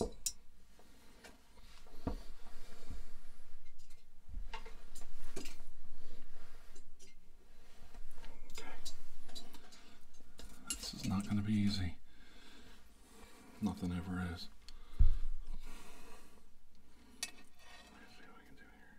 Okay. This is not going to be easy. Nothing ever is. Let's see what I can do here.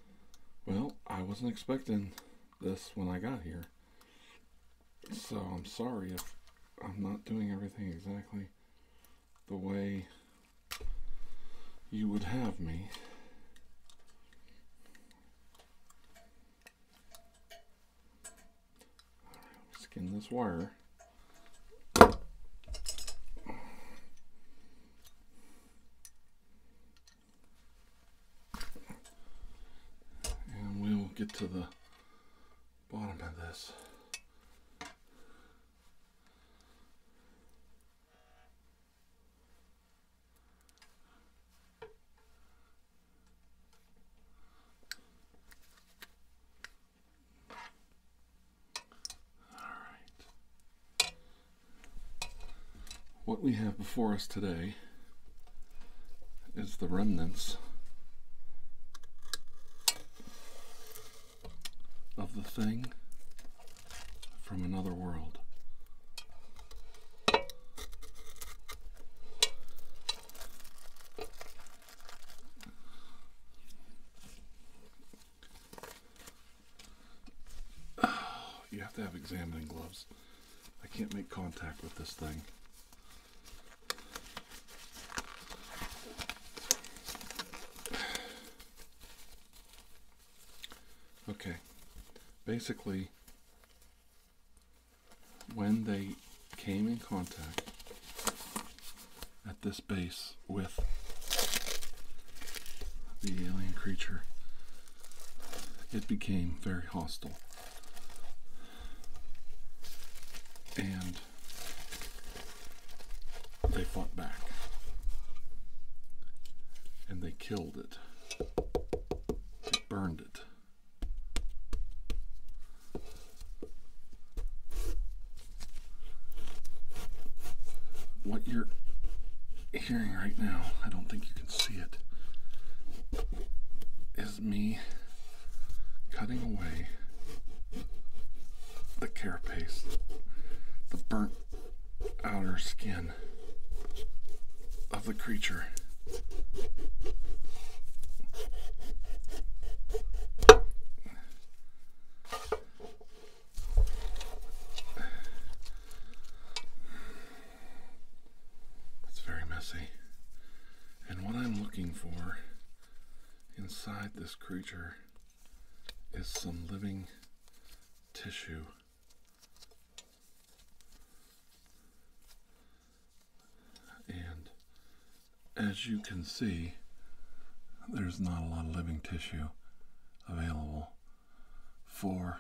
Well, I wasn't expecting this when I got here. So I'm sorry if I'm not doing everything exactly the way you would have me. skin this wire. And we'll get to the bottom of this. All right. What we have before us today is the remnants of the thing from another world. you have to have examining gloves. I can't make contact with this thing. Okay, basically, when they came in contact at this base, with the alien creature, it became very hostile. And they fought back. And they killed it. burned it what you're hearing right now, I don't think you can see it, is me cutting away the carapace, the burnt outer skin of the creature. It's very messy. And what I'm looking for inside this creature is some living tissue. And as you can see, there's not a lot of living tissue available for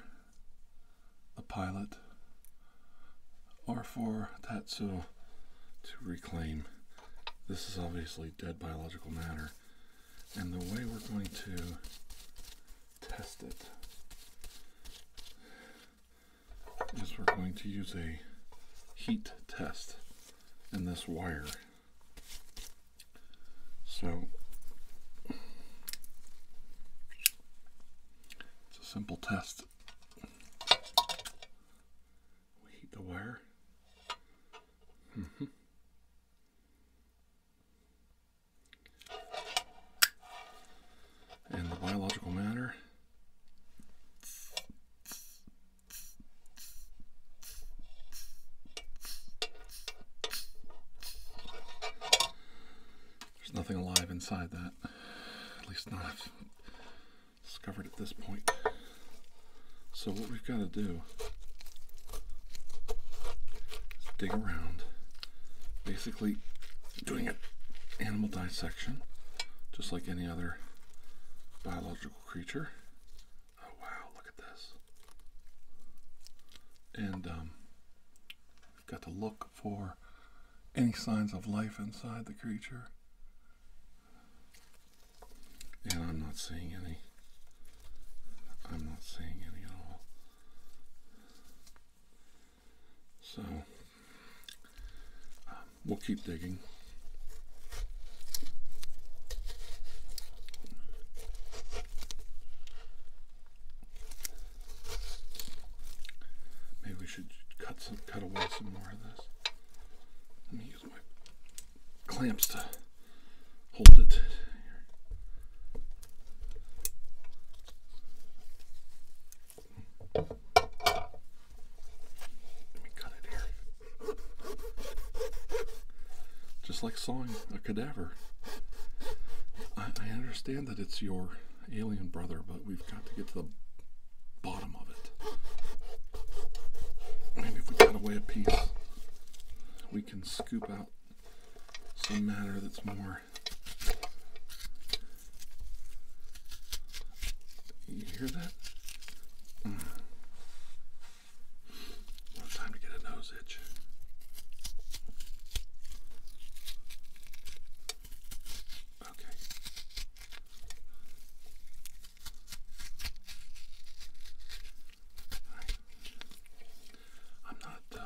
the pilot or for Tatsuo to reclaim. This is obviously dead biological matter. And the way we're going to test it is we're going to use a heat test in this wire. So it's a simple test. We heat the wire. Mm And the biological matter there's nothing alive inside that. At least not discovered at this point. So what we've got to do is dig around. Basically doing an animal dissection, just like any other biological creature. Oh wow, look at this. And um, we've got to look for any signs of life inside the creature. And I'm not seeing any. I'm not seeing any at all. So, um, we'll keep digging. Maybe we should cut some, cut away some more of this. Let me use my clamps to hold it. Let me cut it here. Just like sawing cadaver. I, understand that it's your alien brother, but we've got to get to the bottom of it. Maybe if we cut away a piece, we can scoop out some matter that's more. You hear that? Mm time to get a nose itch. Okay. All right. I'm not. Uh,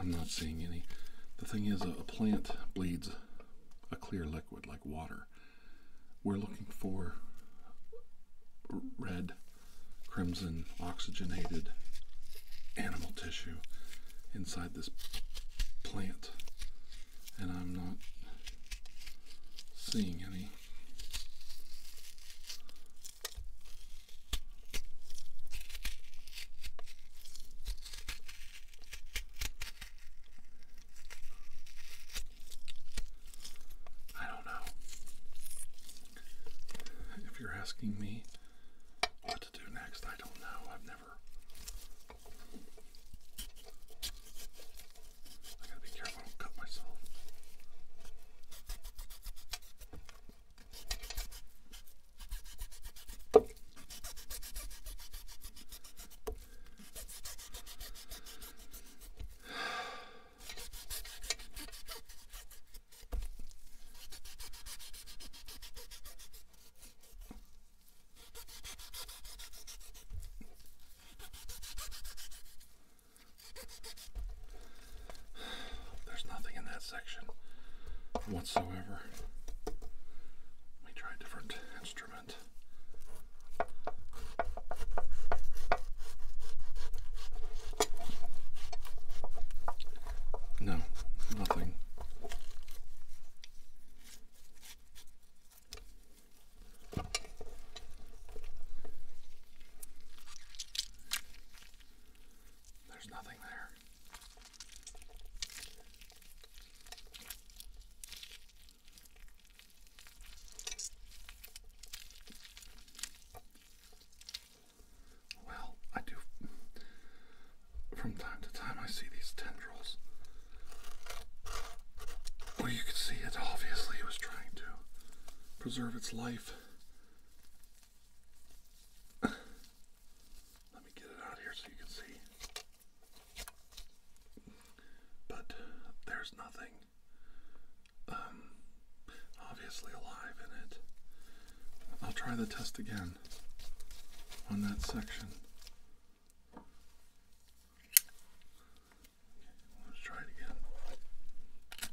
I'm not seeing any. The thing is, uh, a plant bleeds a clear liquid like water. We're looking for red crimson oxygenated animal tissue inside this plant, and I'm not seeing any. I don't know. If you're asking me what to do next, I don't know. I've never. I gotta be careful, I don't cut myself. There's nothing in that section whatsoever. Let me try a different instrument. No, nothing. There's nothing there. Well, I do. From time to time, I see these tendrils. Well, you can see it obviously it was trying to preserve its life. Let me get it out here so you can see. But there's nothing um, obviously alive in it. I'll try the test again on that section. let's try it again.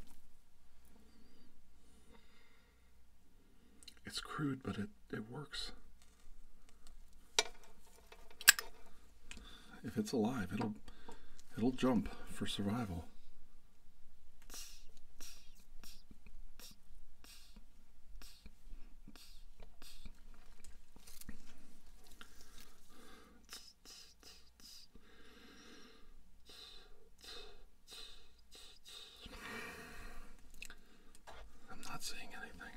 It's crude, but it, it works if it's alive, it'll it'll jump for survival. I'm not seeing anything.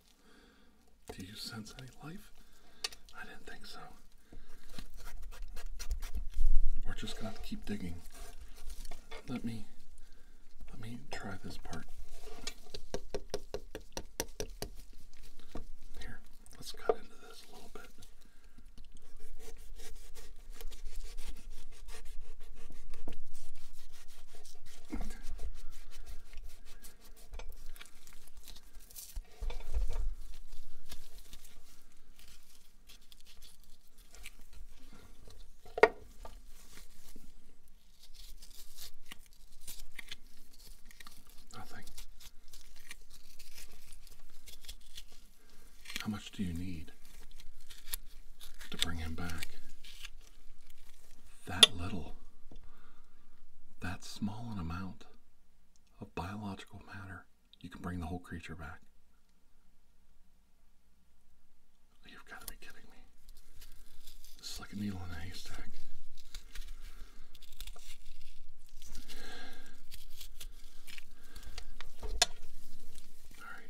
Do you sense any life? I didn't think so. We're just gonna keep digging. Let me let me try this part. Here, let's cut into this a little bit. Nothing. How much do you need to bring him back? that little, that small an amount of biological matter, you can bring the whole creature back. You've got to be kidding me. This is like a needle in a haystack. All right.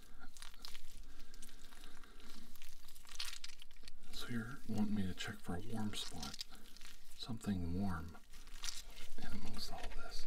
So you're wanting me to check for a warm spot. Something warm amongst all this.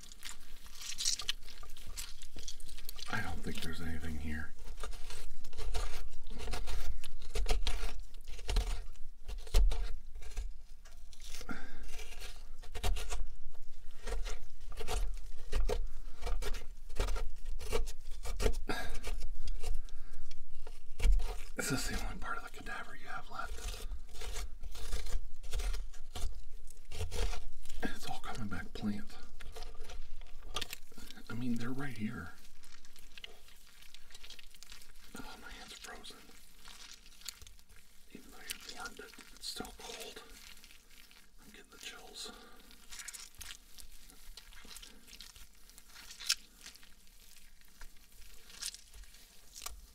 I don't think there's anything here. this the only part of the cadaver you have left? it's all coming back plant. I mean, they're right here. Oh, my hand's frozen. Even though you warmed it, it's still cold. I'm getting the chills.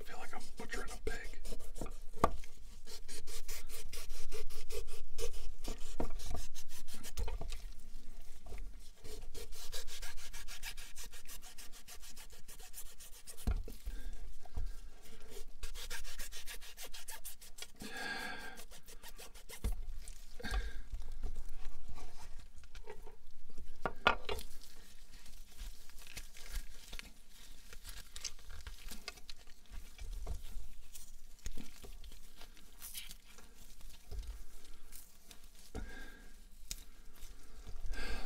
I feel like I'm butchering a pig.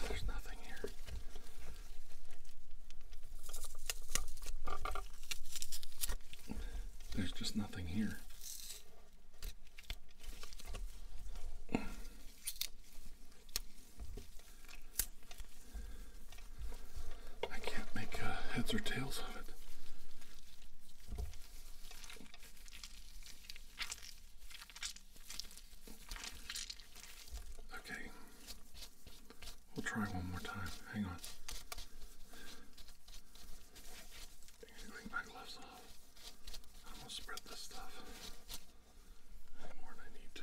There's nothing here. There's just nothing here. I can't make uh, heads or tails of it. Okay, we'll try one more time. Hang on. Clean my gloves off. I'm to spread this stuff more than I need to.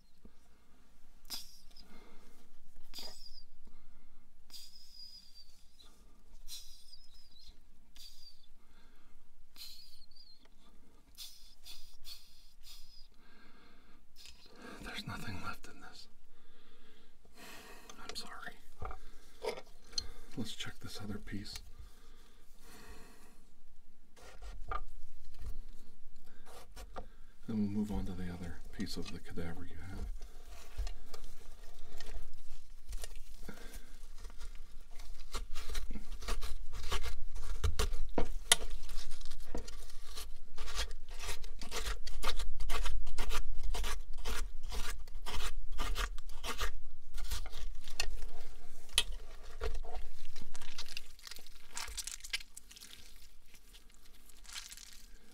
There's nothing left in this. I'm sorry. Let's check this other piece. Then we'll move on to the other piece of the cadaver you have.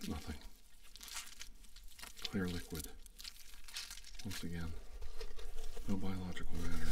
Nothing. Clear liquid. Once again, no biological matter.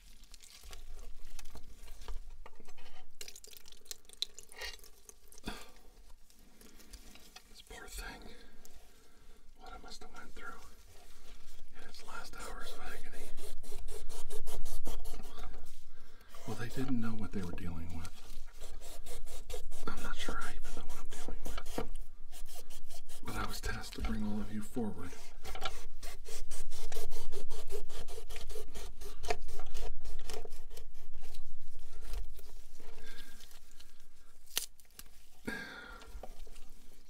This poor thing, what I must have went through in its last hours of agony. Well, they didn't know what they were dealing with. I'm not sure I even know what I'm dealing with. But I was tasked to bring all of you forward.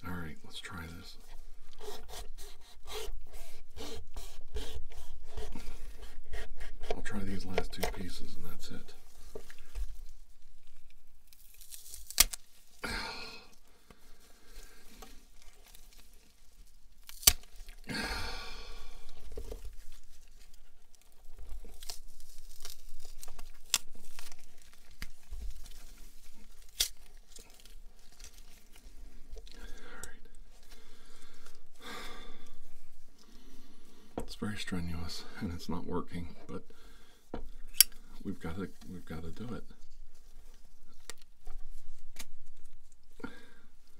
All right, let's try this. I'll try these last two pieces and that's it it's very strenuous and it's not working but we've got to we've got to do it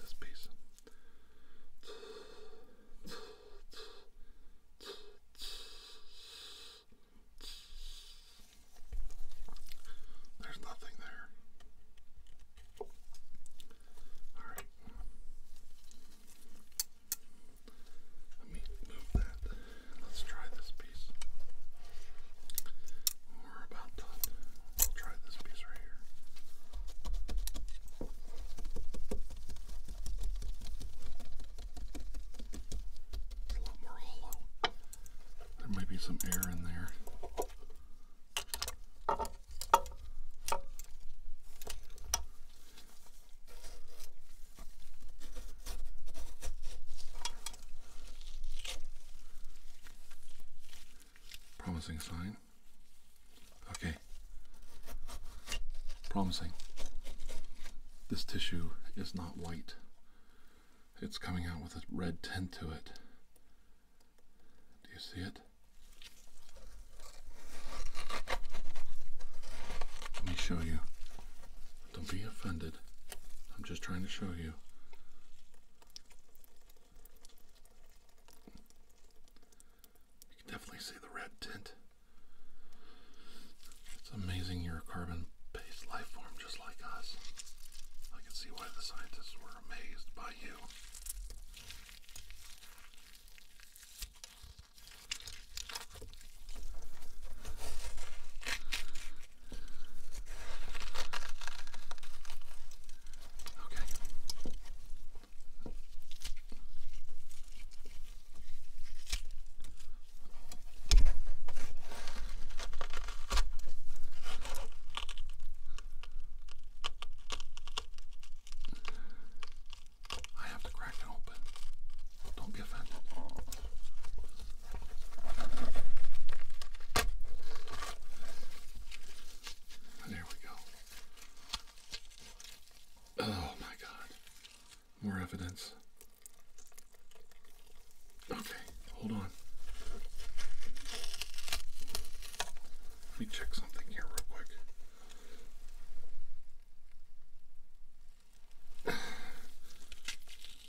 This piece. There's nothing there. All right. Let me move that. Let's try this piece. we're about done. We'll try this piece right here. It's a lot more hollow. There might be some air in there. Promising sign. Okay. Promising. This tissue is not white. It's coming out with a red tint to it. Do you see it? Let me show you. Don't be offended. I'm just trying to show you. You can definitely see the red tint. It's amazing you're a carbon based life form just like us. I can see why the scientists were amazed by you. Okay. I have to crack it open. Don't be offended. There we go. Oh my God. More evidence. Okay, hold on. Let me check something here real quick.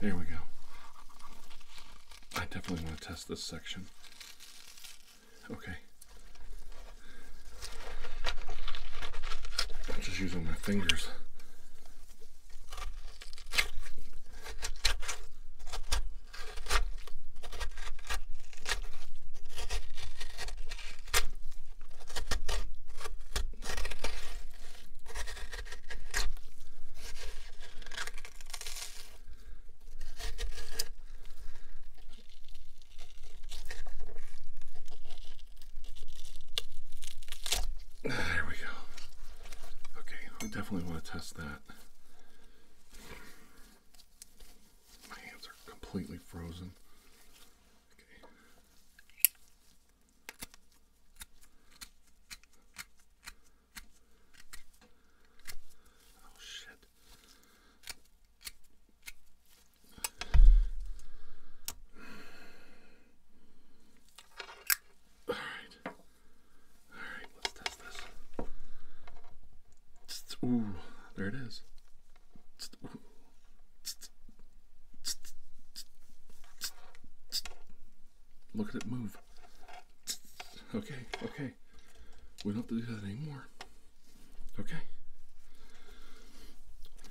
There we go. I definitely want to test this section. Okay. I'm just using my fingers. There we go. Okay, I definitely want to test that. My hands are completely frozen. Okay. Oh shit. All right. All right, let's test Ooh, there it is. Look at it move. Okay, okay. We don't have to do that anymore. Okay.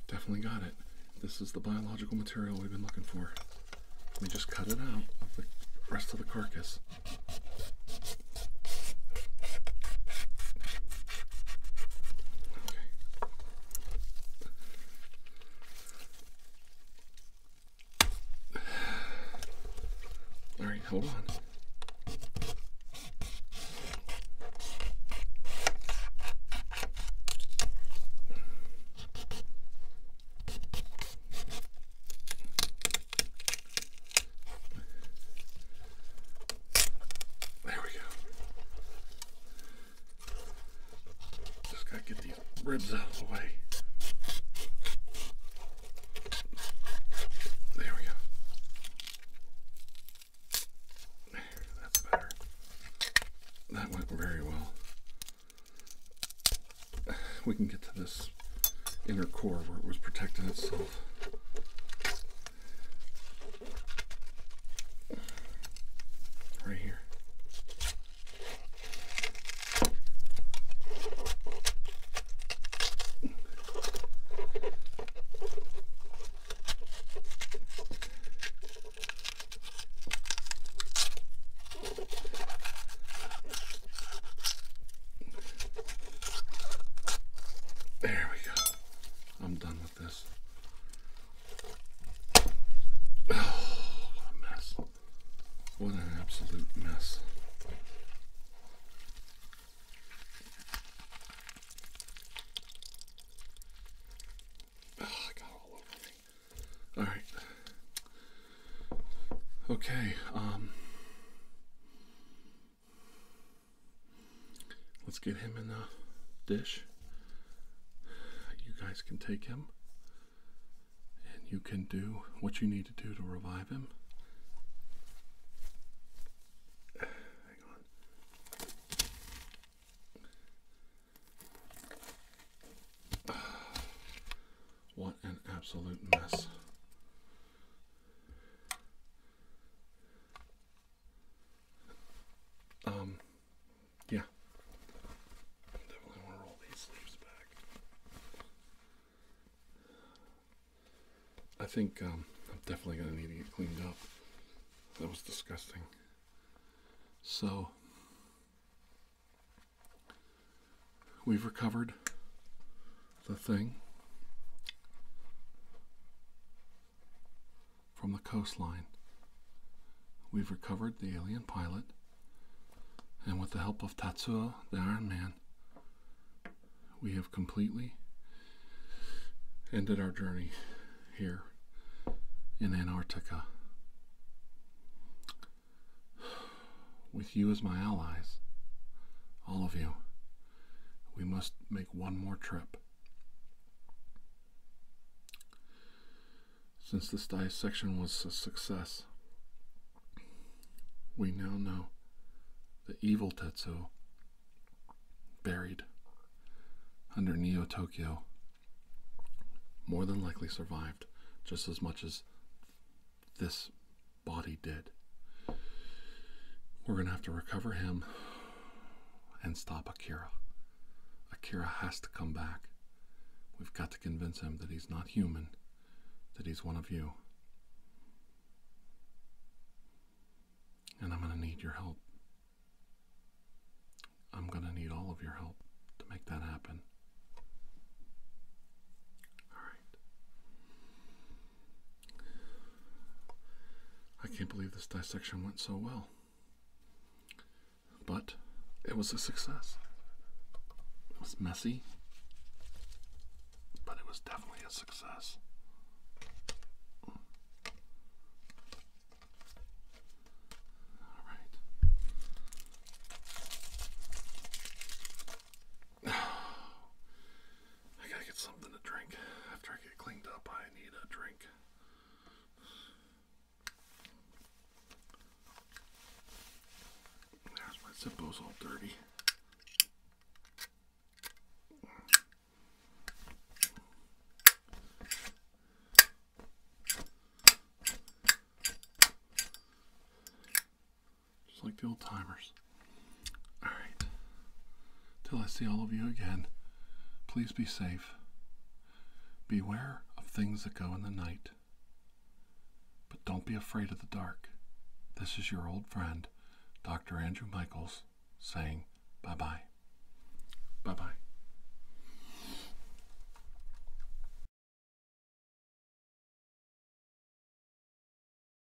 Definitely got it. This is the biological material we've been looking for. Let me just cut it out of the rest of the carcass. Okay. All right, hold on. There we go. Just gotta get these ribs out of the way. There we go. That's better. That went very well. We can get to this this inner core where it was protecting itself. Right here. There we go. I'm done with this. Oh, what a mess. What an absolute mess. Oh, I got all over me. All right. Okay, um Let's get him in the dish. You guys can take him. And you can do what you need to do to revive him. Hang on. What an absolute mess. Um, yeah. I definitely want to roll these sleeves back. I think um, I'm definitely going to need to get cleaned up. That was disgusting. So, we've recovered the thing from the coastline. We've recovered the alien pilot, and with the help of Tatsu, the Iron Man, we have completely ended our journey here in Antarctica. With you as my allies, all of you, we must make one more trip. Since this dissection was a success, we now know the evil Tetsuo buried under Neo Tokyo more than likely survived just as much as this body did. We're going to have to recover him and stop Akira. Akira has to come back. We've got to convince him that he's not human, that he's one of you. And I'm going to need your help. I'm going to need all of your help to make that happen. All right. I can't believe this dissection went so well. But it was a success. It was messy, but it was definitely a success. All right. I gotta get something to drink. After I get cleaned up, I need a drink. my Zippo's all dirty. Just like the old timers. Alright. Till I see all of you again, please be safe. Beware of things that go in the night. But don't be afraid of the dark. This is your old friend, Dr. Andrew Michaels, saying bye bye. Bye bye.